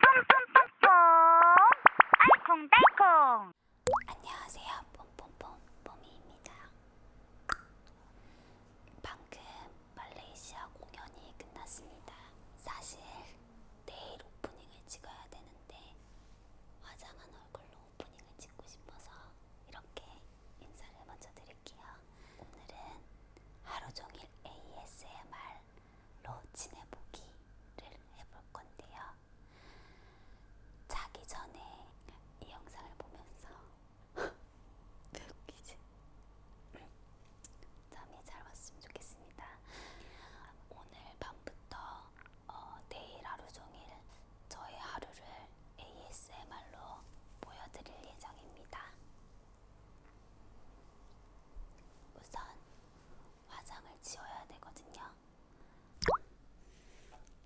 뽕뽕뽕뽕 알콩달콩 안녕하세요 뽕뽕뽕뽕이입니다 방금 말레이시아 공연이 끝났습니다 사실 내일 오프닝을 찍어야 되는데 화장한 얼굴로 오프닝을 찍고 싶어서 이렇게 인사를 먼저 드릴게요 오늘은 하루종일 ASMR 지내보기를 해볼 건데요. 자기 전에 이 영상을 보면서 웃기지? 잠이 잘 왔으면 좋겠습니다. 오늘 밤부터 어, 내일 하루 종일 저의 하루를 ASMR로 보여드릴 예정입니다. 우선 화장을 지워야 되거든요.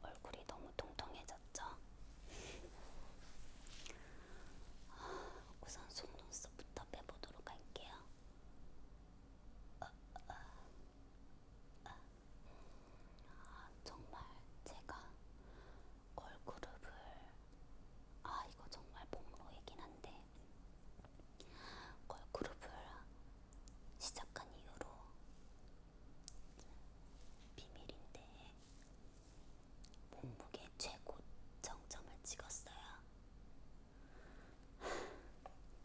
얼굴이 너무 통통해졌죠? 우선 속눈썹부터 빼보도록 할게요. 아, 아, 아. 아, 정말 제가 걸그룹을 아 이거 정말 폭로이긴 한데 걸그룹을 시작한 이후로 비밀인데 몸무게 최고 정점을 찍었어요.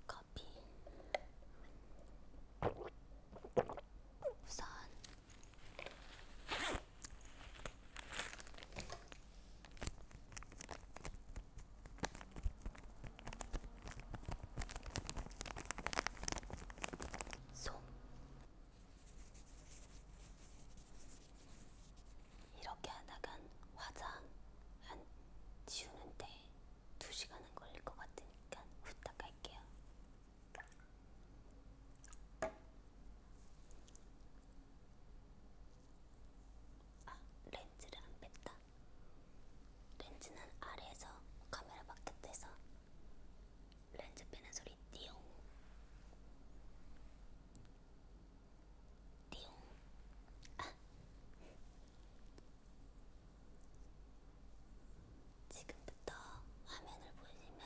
커피 우선 솜 이렇게 하다간 화장 안 지우는데 2시간은 걸릴 것 같으니까 후딱 할게요. 아, 렌즈를 안 뺐다. 렌즈는 아래에서 카메라 바깥에서 렌즈 빼는 소리 띠용 띠용 아. 지금부터 화면을 보시면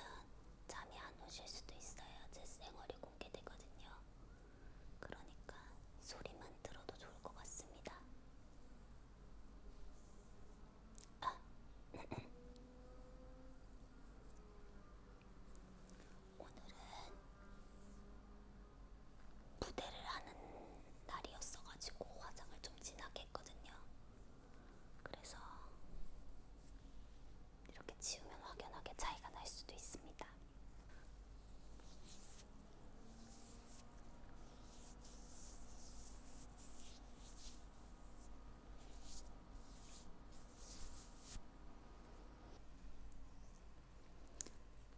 잠이 안 오실 수도 있어요. 제 생얼이 공개되거든요. 그러니까 소리만 들어도 좋을 것 같습니다. 아, 오늘은 무대를 하는 날이었어가지고 화장을 좀 진하게 했거든요. 그래서 이렇게 치우면 확연하게 차이가 날 수도 있습니다.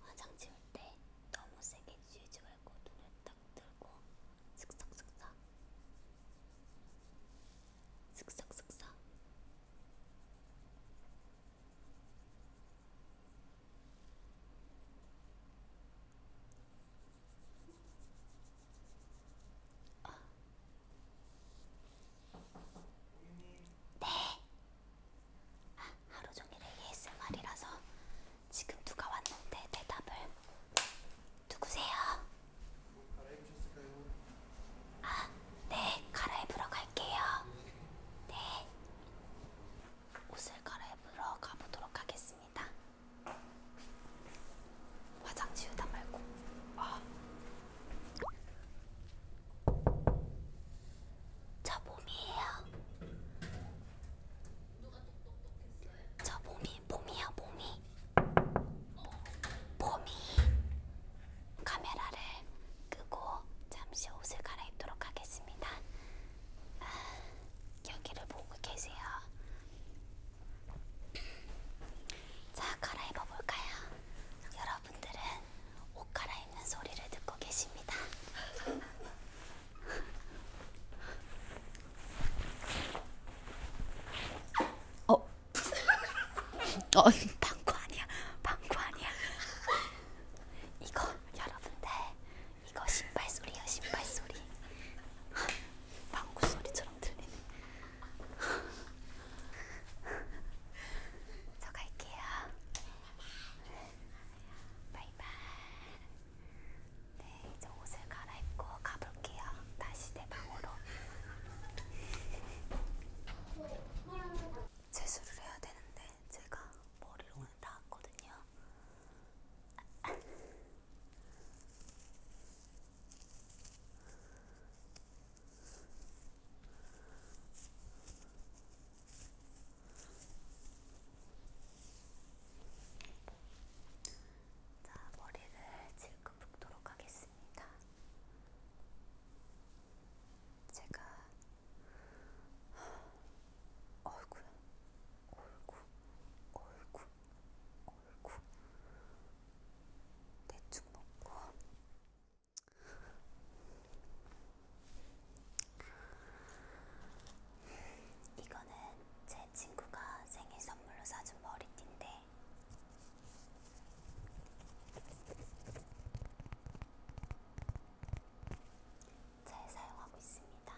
화장 지울 때 너무 세게 지우지 말고 눈을 딱 들고 슥싹슥싹 슥싹슥싹 네. 아, 하루 종일 ASMR이라서 지금 누가 왔는데 대답을 누구세요? 뭐 갈아입으셨을까요? 아, 네, 갈아입으러 갈게요. 네. 옷을 갈아입으러 가보도록 하겠습니다. 화장 지우다 말고. 아. 저 몸이에요. 저 몸이, 몸이야, 몸이. 몸이. 어, 카메라를 끄고 잠시 옷을 갈아입도록 하겠습니다. 아, 여기를 보고 계세요. 자, 갈아입어 볼까요? 여러분들은 옷 갈아입는 소리를 듣고 계십니다. 어? 어, 방구 아니야. 방구 아니야. 이거 여러분들 이거 신발 소리야 신발 소리. 방구 소리처럼 들리네. 저 갈게요. 바이바이. 네, 이제 옷을 갈아입고 가볼게요. 다시 내 방으로. 세수를 해야 되는데 제가 머리를 오늘 닿았거든요. 자, 머리를 질끈 붓도록 하겠습니다. 제가 얼굴, 얼굴, 얼굴, 얼굴. 대충 먹고. 이거는 제 친구가 생일 선물로 사준 머리띠인데 잘 사용하고 있습니다.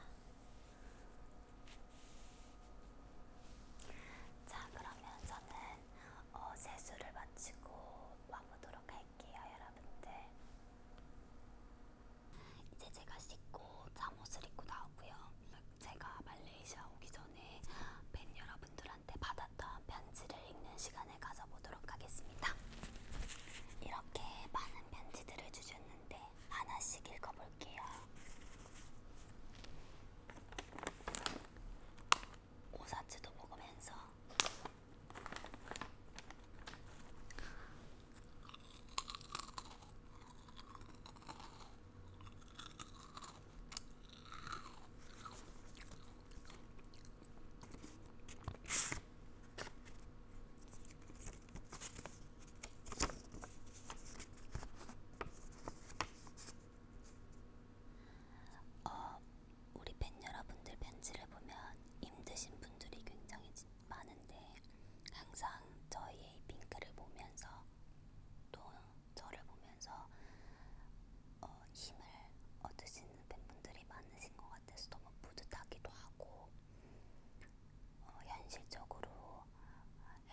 자, 그러면 저는 어, 세수를 마치고 와보도록 할게요, 여러분들. 이제 제가 씻고 잠옷을 입고 나오고요. 제가 말레이시아 오기 전에 팬 여러분들한테 받았던 편지를 읽는 시간을 안에 가서 보도록 하겠습니다. 이렇게 많은 편지들을 주셨는데 하나씩 읽어볼게요. 오사츠도 먹으면서 어, 우리 팬 여러분들 편지를 보면 힘드신 분들이 굉장히 많은데 항상 저희의 핑크를 보면서 또 저를 보면서 어, 더 힘을 얻을 수 있는 팬분들이 많으신 것 같아서 너무 뿌듯하기도 하고 어, 현실적으로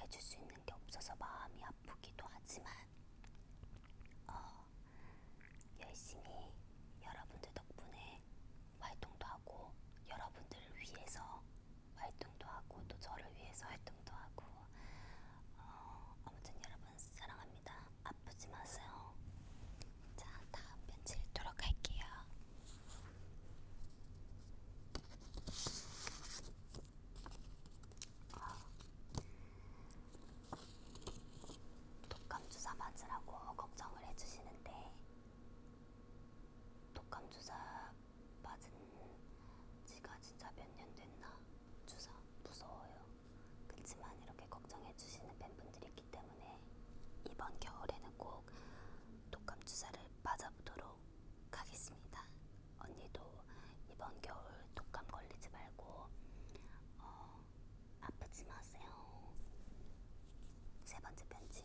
해줄 수 있는 게 없어서 마음이 아프기도 하지만 어, 열심히 여러분들 덕분에 활동도 하고 여러분들을 위해서 활동도 하고 또 저를 위해서 활동도 하고 어, 아무튼 여러분 사랑합니다. 아프지 마세요. 자, 다음 편지 읽도록 할게요. 독감 주사 맞으라고 걱정을 해주시는데 독감 주사 맞은 지가 진짜 몇 년 됐나? 주사 무서워요. 그치만 이렇게 걱정해주시는 팬분들이 있기 때문에 이번 겨울에는 꼭 독감 주사를 맞아보도록 하겠습니다. 언니도 이번 겨울 독감 걸리지 말고 어, 아프지 마세요. 세 번째 편지.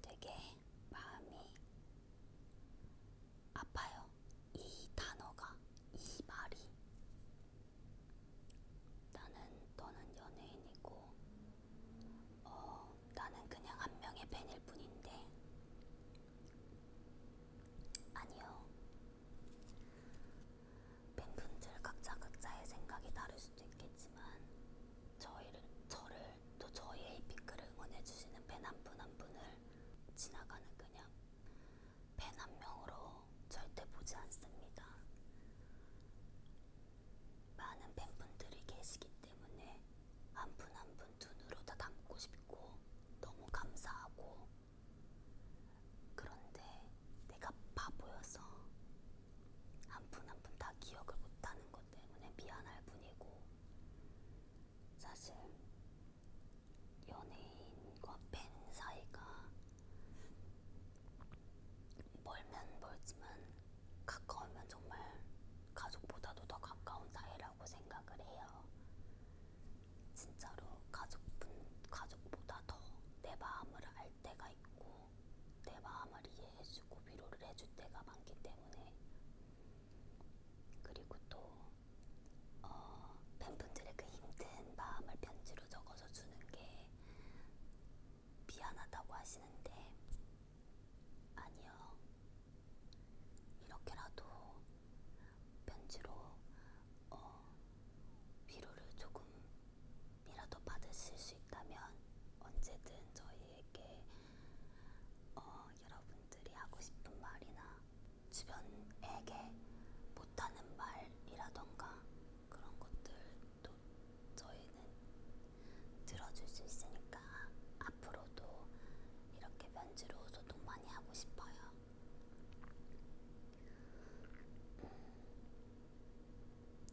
되게 마음이 아파요. 이 단어가, 이 말이. 나는 너는 연예인이고, 어, 나는 그냥 한 명의 팬일 뿐인데. 아니요. 팬분들 각자 각자의 생각이 다를 수도 있겠지만, 저희를, 저를 또 저희의 핑크를 응원해주시는 팬 한분한 한 분을 지나가는 그냥 팬 한 명으로 절대 보지 않습니다. 많은 팬분들이 계시기 때문에 한 분 한 분두 한분 눈으로 다 담고 싶고 너무 감사하고 그런데 내가 바보여서 한푼한푼다 기억을 못하는 것 때문에 미안할 뿐이고 사실 연예인과 팬 사이가 멀면 멀지만 가까우면 정말 가족보다도 더 가까운 사이라고 생각을 해요. 진짜로 가족분 가족보다 더 내 마음을 알 때가 있고 내 마음을 이해해주고 위로를 해줄 때가 많기 때문에 그리고 또 어, 팬분들의 그 힘든 마음을 편지로 적어서 주는 게 미안하다고 하시는데 아니요 이렇게라도 편지로 어, 위로를 조금 이라도 받으실 수 있다면 언제든 저희에게 어, 여러분들이 하고 싶은 말이나 주변에게 못하는 말이라던가 그런 것들도 저희는 들어줄 수 있으니까 앞으로도 이렇게 면지로 소통 많이 하고 싶어요. 음,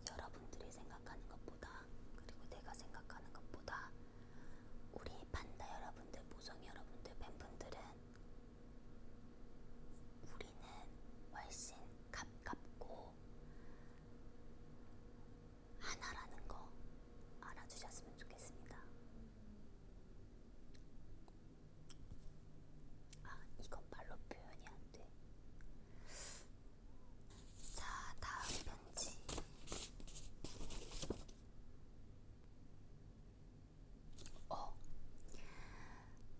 여러분들이 생각하는 것보다 그리고 내가 생각하는 것보다 우리 판다 여러분들, 모성 여러분들, 팬분들은 우리는 훨씬 가깝고 하나라는 거 알아주셨으면 좋겠습니다. 아, 이건 말로 표현이 안 돼. 자, 다음 편지. 어,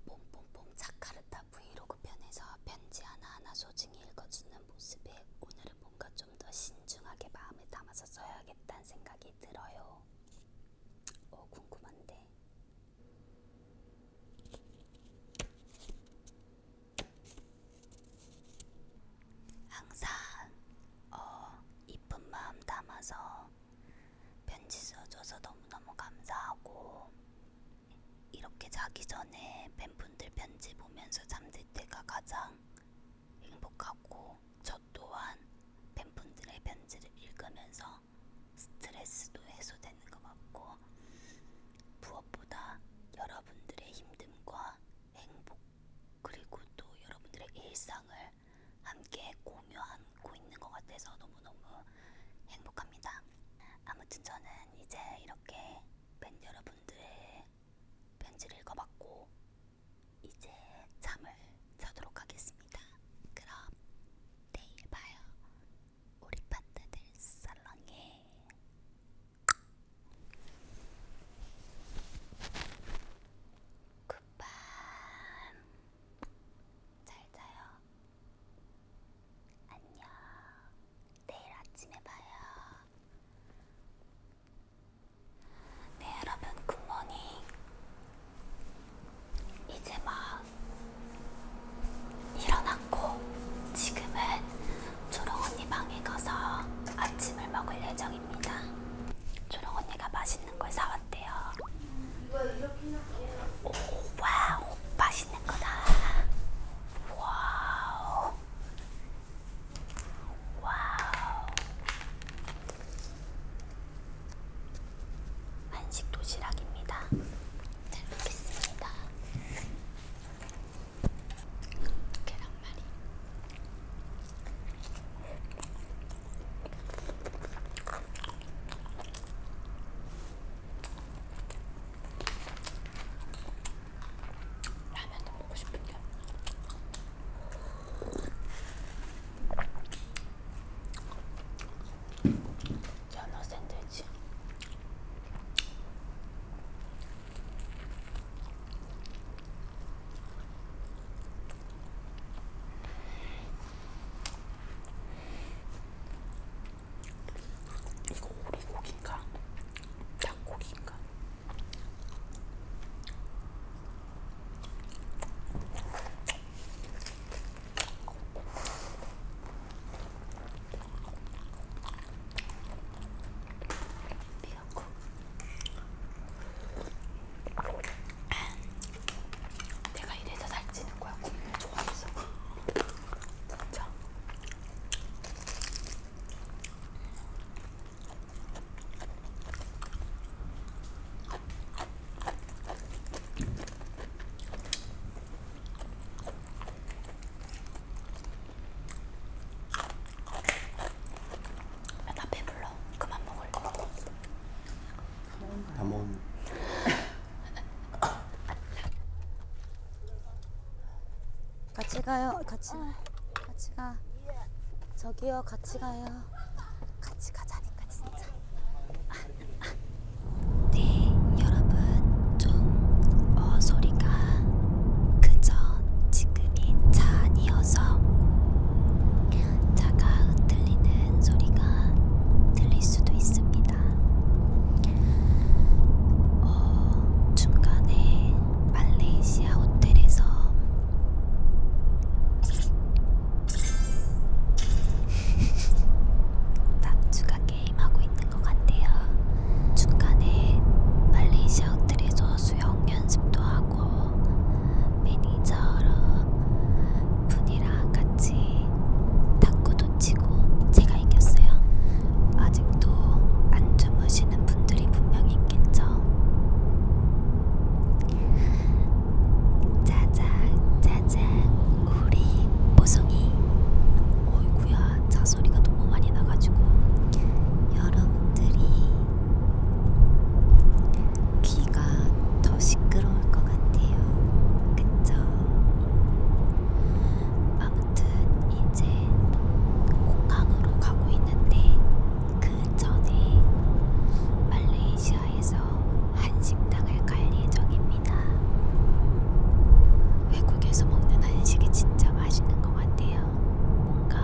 뽕뽕뽕 차카르타 브이로그 편에서 편지 하나하나 소중히 읽어주는 모습에 오늘은 뭔가 좀 더 신중하게 마음을 담아서 써야겠다는 생각이 들어요. 어, 궁금한데. 항상 어 이쁜 마음 담아서 편지 써줘서 너무너무 감사하고 이렇게 자기 전에 팬분들 편지 보면서 잠들 때가 가장 행복하고 저 또한 팬분들의 편지를 읽으면서 스트레스도 해소되는 되는 거 맞고 무엇보다 여러분들의 힘듦과 행복 그리고 또 여러분들의 일상을 함께 공유하고 있는 것 같아서 너무너무 행복합니다. 아무튼 저는 이제 이렇게 팬 여러분들의 편지를 읽어봤고 이제 잠을 자도록 하겠습니다. 그럼 내일 봐요. 우리 파트들 사랑해. 굿밤. 잘 자요. 안녕. 내일 아침에 봐요. 네 여러분 굿모닝. 이제 막 일어났고 지금은 초롱언니 방에 가서 아침을 먹을 예정입니다. 초롱언니가 맛있는 걸 사왔대요. 오, 와우 맛있는 거다. 와우 와우 한식 도시락입니다. 잘 먹겠습니다. 계란말이 라면도 먹고 싶은데 연어 샌드위치 이거 오리고기인가? 닭고기인가? 미역국 내가 이래서 살찌는 거야 국물 좋아해서 진짜 아, 나 배불러. 그만 먹을. 다 먹은. 같이 가요. 같이. 같이 가. 저기요. 같이 가요. 같이 가자니까 진짜. 네, 여러분. 좀 어소리가 그저 지금이 차 아니어서 차가 흔들리는 소리가 들릴 수도 있습니다. 어, 중간에 말레이시아 호텔에서 남주가 게임하고 있는 것 같아요. 중간에 말레이시아 호텔에서 수영 연습도 하고 매니저로 분이랑 같이 탁구도 치고 제가 이겼어요. 아직도 안 주무시는 분들이 분명히 있겠죠. 짜잔 짜잔 우리 보송이 어이구야 제가 차 소리가 너무 많이 나가지고 여러분들이 귀가 더 시끄러울 것 같아요. 그쵸? 아무튼 이제 공항으로 가고 있는데 그 전에 말레이시아에서 한식당을 갈 예정입니다. 외국에서 먹는 한식이 진짜 맛있는 것것 같아요. 뭔가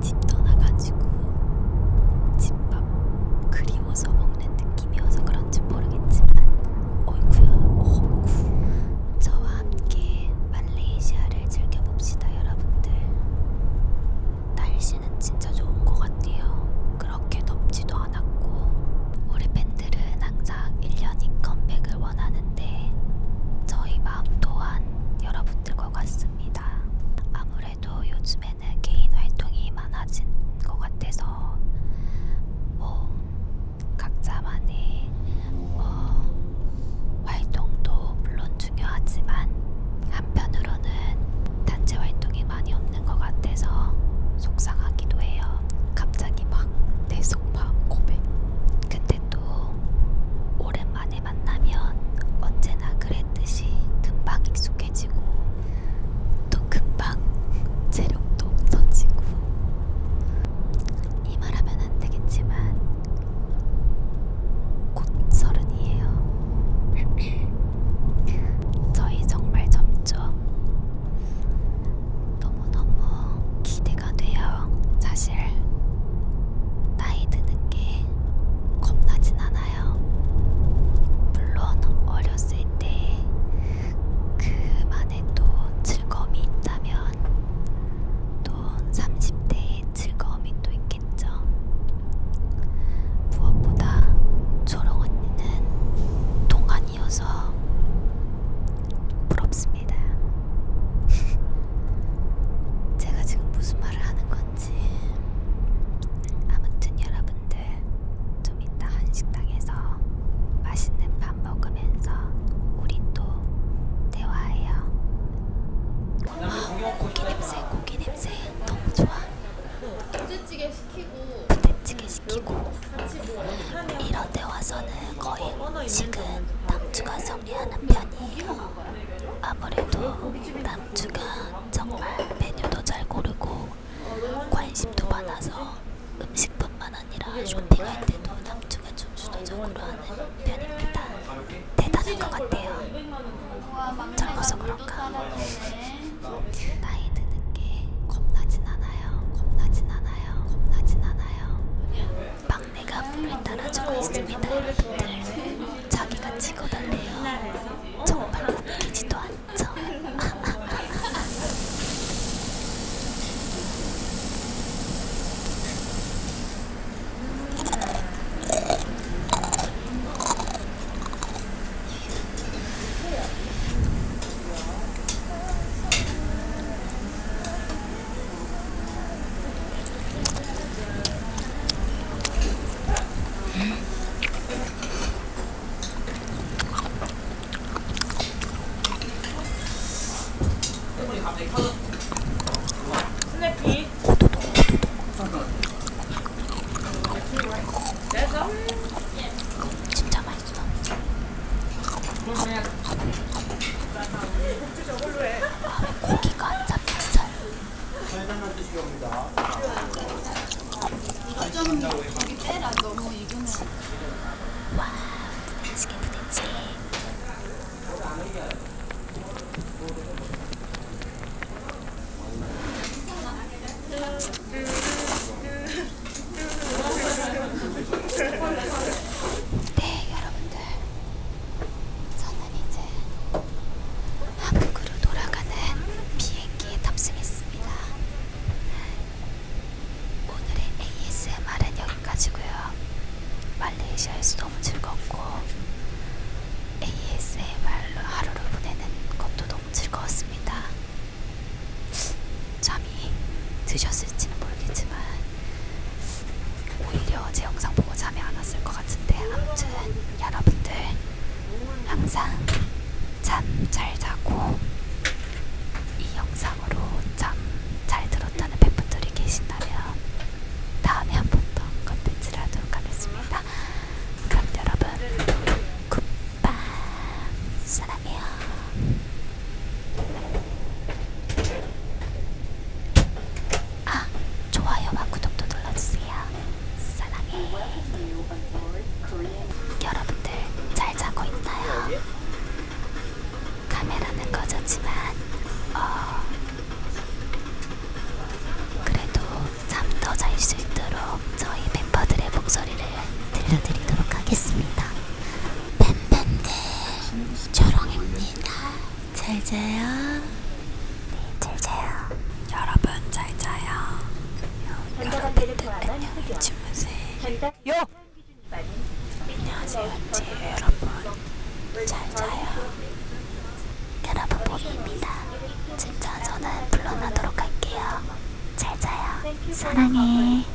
집 떠나가지고 집밥 그리워서 먹는 느낌이어서 그런지 모르겠지만 어이구야 어구 저와 함께 말레이시아를 즐겨봅시다 여러분들. 날씨는 진짜 좋은 것 같아요. 그렇게 덥지도 않았고 우리 팬들은 항상 1년이 컴백을 원하는데 저희 마음 또한 여러분들과 같습니다. 아무래도 요즘에는 개인 활동이 많아진 것 같아서 뭐 각자만의 어, 활동도 물론 중요하지만 한편으로는 단체 활동이 많이 없는 것 같아서 속상하기도 해요. 갑자기 막내 속마음 고백. 근데 또 오랜만에 만나면 언제나 그랬듯이 금방 익숙해지고 또 금방 체력도 없어지고 이 말하면 안 되겠지만 곧 서른이에요. 저희 정말 점점 너무 너무너무 기대가 돼요. 사실 나이 드는 게 겁나진 않아요. 물론 어렸을 때 그만의 또 즐거움이 있다면 또 30대의 즐거움이 또 있겠죠. 무엇보다 초롱 언니는 동안 아니어서 부럽습니다. 제가 지금 무슨 말을 하는 건지 아무튼 여러분들 좀 이따 한식당에서 맛있는 밥 먹으면서 우리 또 대화해요. 와 아, 고기 냄새 고기 냄새 너무 좋아. 부대찌개 시키고 부대찌개 시키고. 이런 데 와서는 거의 지금 남주가 정리하는 편이에요. 아무래도 남주가 정말 메뉴도 잘 고르고 관심도 많아서 음식뿐만 아니라 쇼핑할 때도 남주가 좀 주도적으로 하는 편입니다. 대단한 것 같아요. 젊어서 그런가. 나이 드는 게 겁나진 않아요. 겁나진 않아요. 겁나진 않아요. 있잖아요. 막내가 물을 따라주고 있습니다, 여러분들. 자기가 치고 달래요. 정말 웃기지도 않죠. 진짜 맛있어. 고기가 안 잡혔어요. 와, 부대찌개 부대찌개. 네, 여러분들. 저는 이제 한국으로 돌아가는 비행기에 탑승했습니다. 오늘의 ASMR은 여기까지고요. 말레이시아에서 너무 즐겁고 ASMR로 하루를 보내는 것도 너무 즐거웠습니다. 잠이 드셨을지는 모르겠지만 오히려 제 영상 보고 잠이 안 왔을 것 같은데 아무튼 여러분들 항상 잠 잘 자고 이 영상으로 잠 잘 들었다는 팬분들이 계신다면 다음에 한 번 더 컨텐츠를 하도록 하겠습니다. 그럼 여러분 굿밤 사랑해요. 아, 좋아요와 구독도 눌러주세요. 사랑해. 여러분들 잘 자고 있나요? 카메라는 꺼졌지만, 어, 그래도 잠 더 잘 수 있도록 저희 멤버들의 목소리를 들려드리도록 하겠습니다. 팬팬들 조롱입니다. 잘 자요. 네, 잘 자요. 여러분 잘 자요. 여러분들 안녕히 주무세요. 요! 안녕하세요, 제 여러분. 잘 자요. 여러분 보미입니다. 진짜 저는 불러나도록 할게요. 잘 자요. 사랑해.